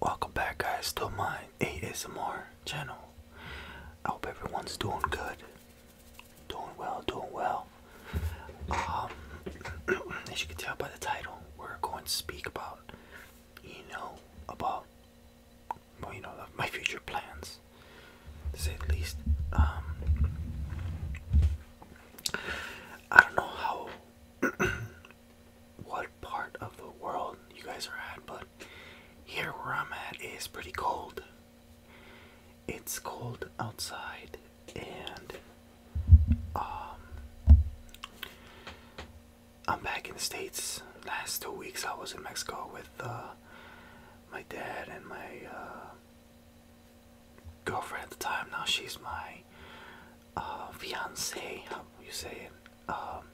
Welcome back, guys, to my ASMR channel. I hope everyone's doing good, doing well, doing well. Um, as you can tell by the title, we're going to speak about, you know, about, well, you know, my future plans. To say the least. Um, I don't know how what part of the world you guys are at, but here where I'm at is pretty cold. It's cold outside, and um, I'm back in the States. Last two weeks I was in Mexico with uh, my dad and my uh, girlfriend at the time. Now she's my uh, fiance, how you say it? Um,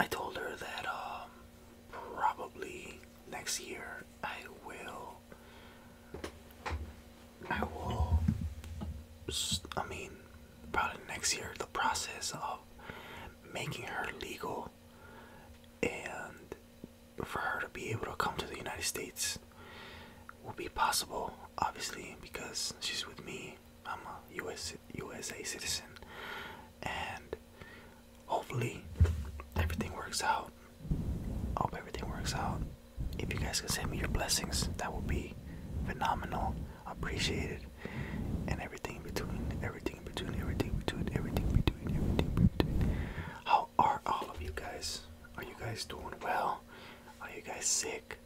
I told her that um, probably next year I will. I will. I mean, probably next year the process of making her legal and for her to be able to come to the United States will be possible, obviously, because she's with me. I'm a US USA citizen, and hopefully everything works out. hope everything works out. If you guys can send me your blessings, that would be phenomenal, appreciated, and everything in between, everything in between, everything in between, everything in between, everything between. How are all of you guys? Are you guys doing well? Are you guys sick?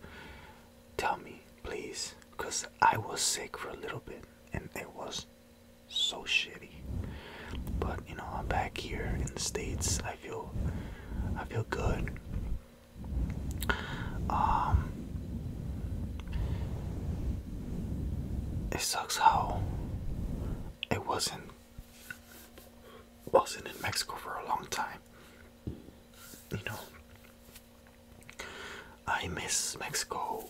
Tell me, please, because I was sick for a little bit and it was so shitty. But you know, I'm back here in the States. I feel I feel good. Um It sucks how it wasn't wasn't in Mexico for a long time. You know, I miss Mexico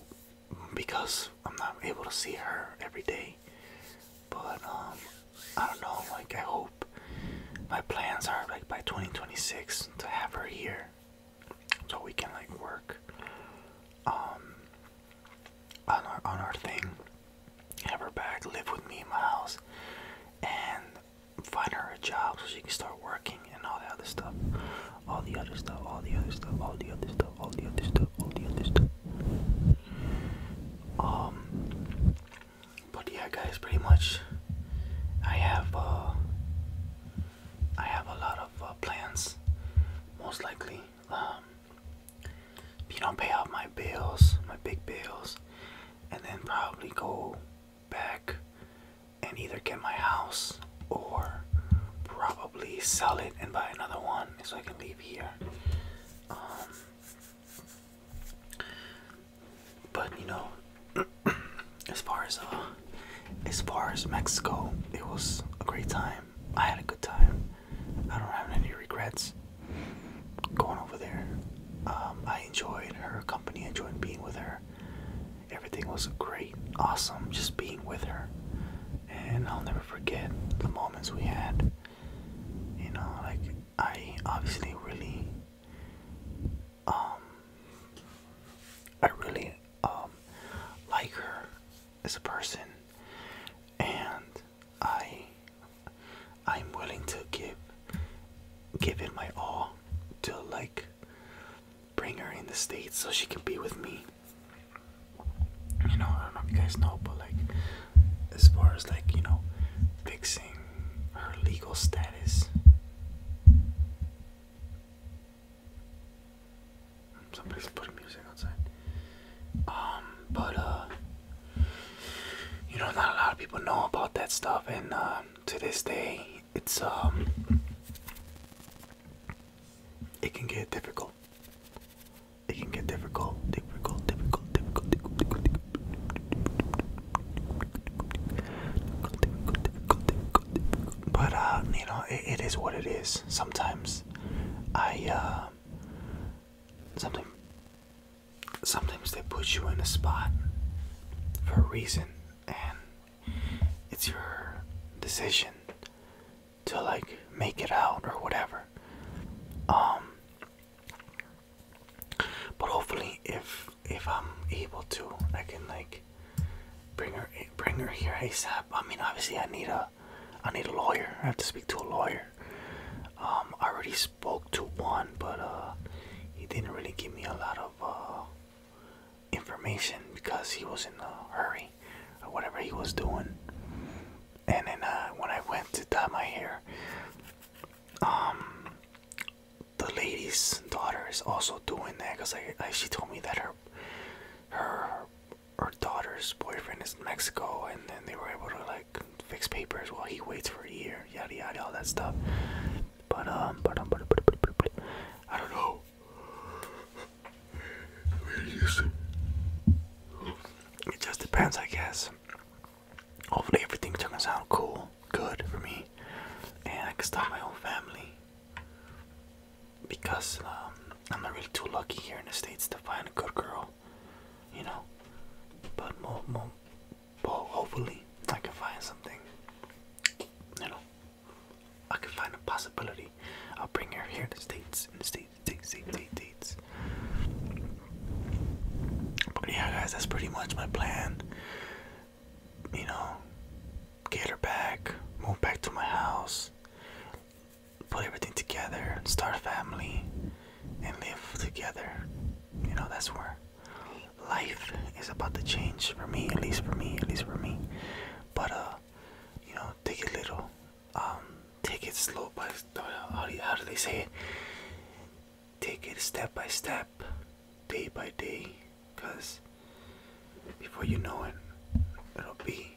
because I'm not able to see her every day. But um, I don't know. Like I hope my plans are like by 2026 to have her here, so we can like work. Um, on our on our thing, have her back, live with me in my house, and find her a job so she can start working and all that other stuff. All the other stuff, all the other stuff, all the other stuff, all the other stuff, all the other stuff. Um but yeah guys pretty much I have uh I have a lot of uh, plans most likely um you don't pay off my bills, my big bills, and then probably go back and either get my house or probably sell it and buy another one so I can leave here. Um, but you know, as far as uh, as far as Mexico, it was a great time. I had a good time. I don't have any regrets going over there. Um, I enjoyed her company, I enjoyed being with her. Everything was great, awesome, just being with her. And I'll never forget the moments we had. You know, like, I obviously really, um, I really, um, like her as a person. And I I'm willing to give give it my all to like bring her in the States so she can be with me. You know, I don't know if you guys know, but like as far as like, you know, fixing her legal status Somebody's putting music outside. Um, but uh, you know, not a lot of people know about that stuff, and uh, to this day, it's um, it can get difficult. It can get difficult, difficult, difficult, difficult, difficult, difficult, difficult, difficult, difficult, difficult. But uh, you know, it, it is what it is. Sometimes I uh, um, sometimes they put you in a spot for a reason and it's your decision to like make it out or whatever um but hopefully if if i'm able to i can like bring her bring her here asap i mean obviously i need a I need a lawyer. I have to speak to a lawyer. Um, I already spoke to one, but uh, he didn't really give me a lot of uh, information because he was in a hurry or whatever he was doing. And then uh, when I went to dye my hair, um, the lady's daughter is also doing that because she told me that her her her daughter's boyfriend is in Mexico, and then they were able to like fix papers while he waits for a year, yada yada, all that stuff. But um, but um, but, but, but, but, but I don't know. It just depends, I guess. Hopefully, everything turns out cool, good for me, and I can start my own family because um, I'm not really too lucky here in the states to find a good girl, you know. But more, more, well, hopefully I can find something, you know. I can find a possibility. I'll bring her here in the states, in the states, states, states, states. states. But yeah, guys, that's pretty much my plan. You know, get her back, move back to my house, put everything together start a family and live together. You know, that's where life is about to change for me, at least for me, at least for me. But uh, you know, take it little, um, take it slow by uh, how do, how do they say Take it step by step, day by day, cause before you know it, it'll be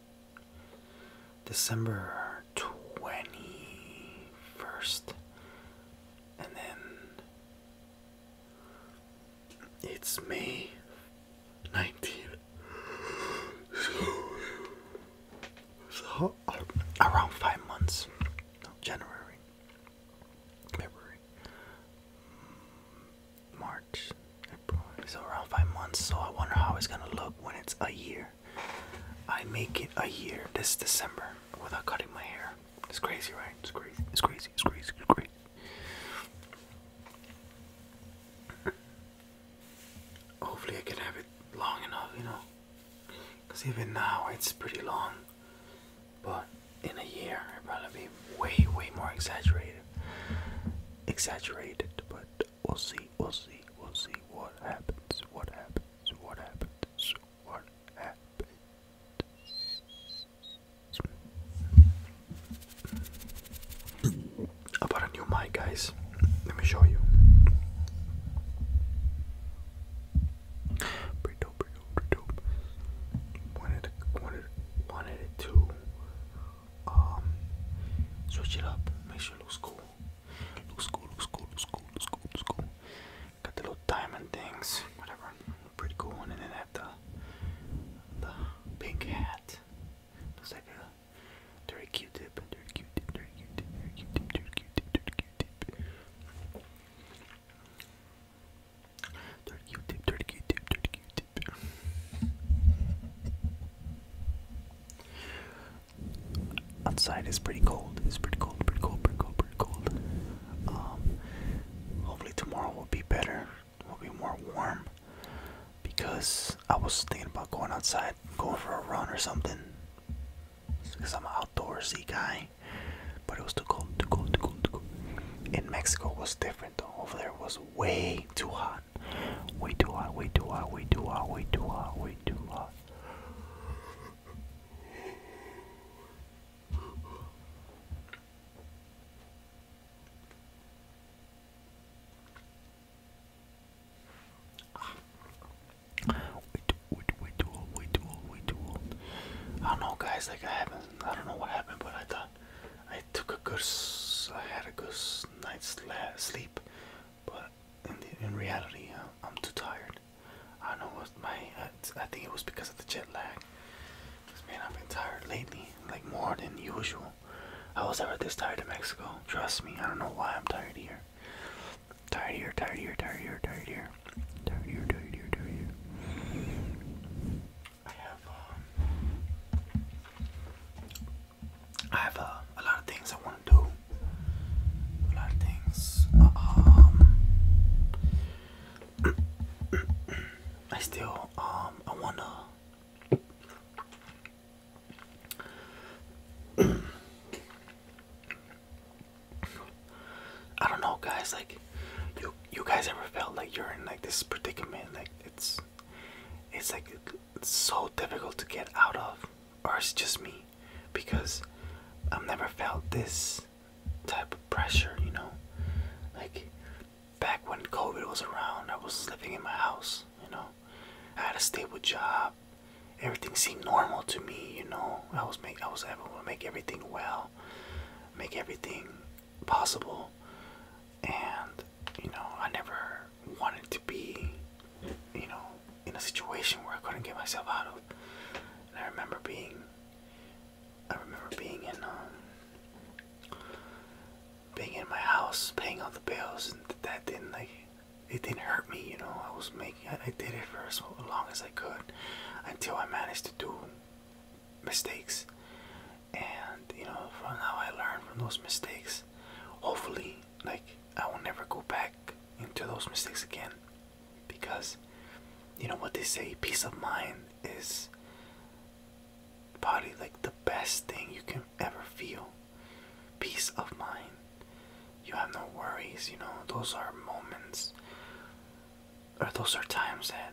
December 21st. And then it's May 19th. So, so around five months. No, January, February, March, April. So around five months. So I wonder how it's gonna look when it's a year. I make it a year this December without cutting my hair. It's crazy, right? It's crazy. It's crazy. It's crazy. It's crazy. Hopefully, I can have it long enough, you know. Cause even now it's pretty long, but in a year it'll probably be way, way more exaggerated. Exaggerated, but We'll see, we'll see, we'll see what happens, what happens, what happens, what happens. About a new mic, guys. Let me show you. Pretty dope, pretty dope, pretty dope. Wanted, wanted, wanted it to um, switch it up, make sure it looks cool. Looks cool, looks cool, looks cool, looks cool, looks cool. Got the little diamond things, whatever, pretty cool one. And then I have the, the pink hat. Looks like a dirty Q-tip, dirty Q-tip, dirty Q-tip, dirty Q-tip, dirty Q-tip, dirty Q-tip. Dirty Q-tip, dirty Q-tip, dirty Q-tip. Outside is pretty cold. It's pretty cold, pretty cold, pretty cold, pretty cold. Um, hopefully tomorrow will be better. Will be more warm because I was thinking about going outside, going for a run or something. Because I'm an outdoorsy guy, but it was too cold, too cold, too cold, too cold. In Mexico was different Over there was way too hot hot. Way too hot, way too hot, way too hot, way too hot, way too hot. Way too, way too, way too old, way too old, way too old. I don't know, guys. Like I haven't, I don't know what happened, but I thought, I took a good, I had a good night's sleep, but in, the, in reality, I'm, uh, I'm too tired. I don't know what my, I, I think it was because of the jet lag. Cause man, I've been tired lately, like more than usual. I was never this tired in Mexico. Trust me, I don't know why I'm tired here. Tired here, tired here, tired here, tired here, tired here, tired here, tired here. I have I uh, have a lot of things I want to do. A lot of things. Um, I still um, I wanna. I don't know, guys. Like, you you guys ever felt like you're in like this predicament? Like, it's it's like so difficult to get out of or it's just me because I've never felt this type of pressure, you know. Like back when COVID was around, I was living in my house, you know. I had a stable job. Everything seemed normal to me, you know. I was make I was able to make everything well, make everything possible. And, you know, I never wanted to be, you know, in a situation where I couldn't get myself out of. And I remember being, I remember being in, um, being in my house, paying all the bills, and that didn't like, it didn't hurt me, you know. I was making, I, I did it for as long as I could, until I managed to do mistakes and you know from how I learned from those mistakes hopefully like I will never go back into those mistakes again because you know what they say peace of mind is probably like the best thing you can ever feel peace of mind you have no worries you know those are moments or those are times that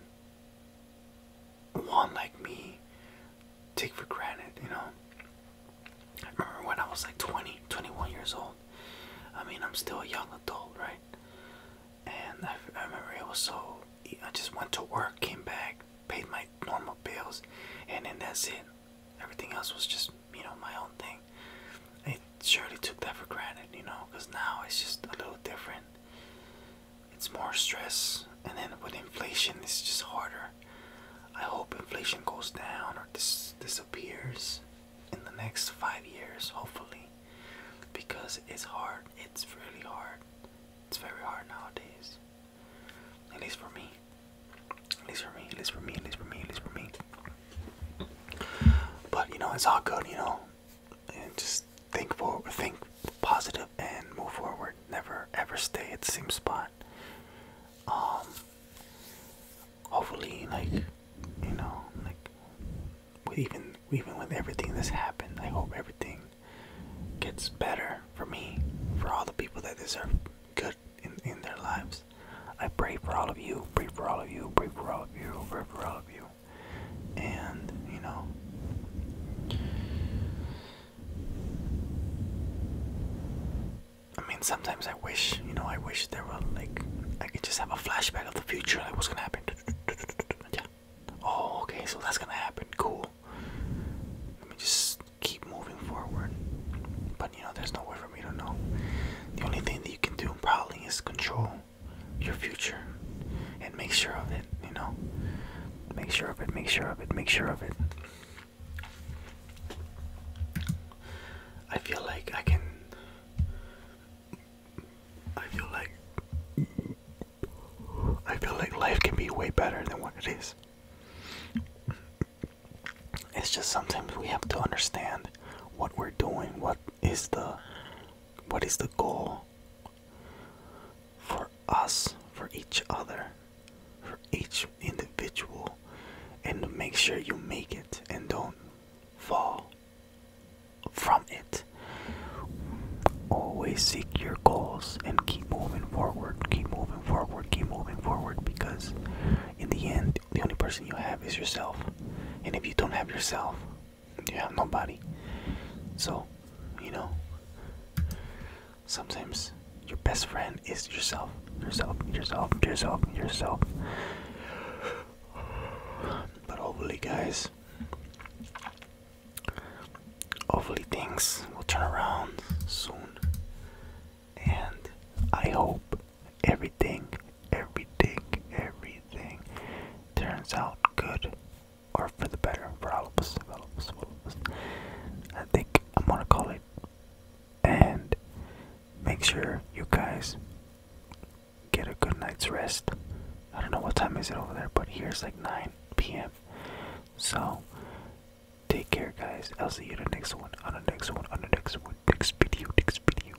one like me take for granted, you know. I remember when I was like 20, 21 years old. I mean, I'm still a young adult, right? And I, I remember it was so. I just went to work, came back, paid my normal bills, and then that's it. Everything else was just, you know, my own thing. I surely took that for granted, you know, because now it's just a little different it's more stress, and then with inflation, it's just harder. I hope inflation goes down or dis disappears in the next five years, hopefully, because it's hard. It's really hard. It's very hard nowadays. At least for me. At least for me. At least for me. At least for me. At least for me. But you know, it's all good. You know, and just think for think positive and move forward. Never ever stay at the same spot. Um hopefully like you know, like with even even with everything that's happened, I hope everything gets better for me, for all the people that deserve good in, in their lives. I pray for all of you, pray for all of you, pray for all of you, pray for all of you and you know I mean sometimes I wish you know I wish there were like I could just have a flashback of the future like what's gonna happen yeah oh okay so that's gonna happen cool let me just keep moving forward but you know there's no way for me to know the only thing that you can do probably is control your future and make sure of it, you know? Make sure of it, make sure of it, make sure of it. I feel like I can. I feel like. I feel like life can be way better than what it is. It's just sometimes we have to understand what we're doing, what is the what is the goal for us, for each other, for each individual, and make sure you make it and don't fall from it. Always seek your goals and keep moving forward, keep moving forward, keep moving forward because in the end, the only person you have is yourself. And if you don't have yourself, you have nobody. So, you know, sometimes your best friend is yourself, yourself, yourself, yourself, yourself. But hopefully, guys, hopefully things will turn around soon. And I hope everything, everything, everything turns out good or for the better for all of us, all of us, all of us. I think I'm gonna call it, and make sure you guys get a good night's rest. I don't know what time is it over there, but here it's like 9 p.m. So take care, guys. I'll see you in the next one, on the next one, on the next one, next video, next video.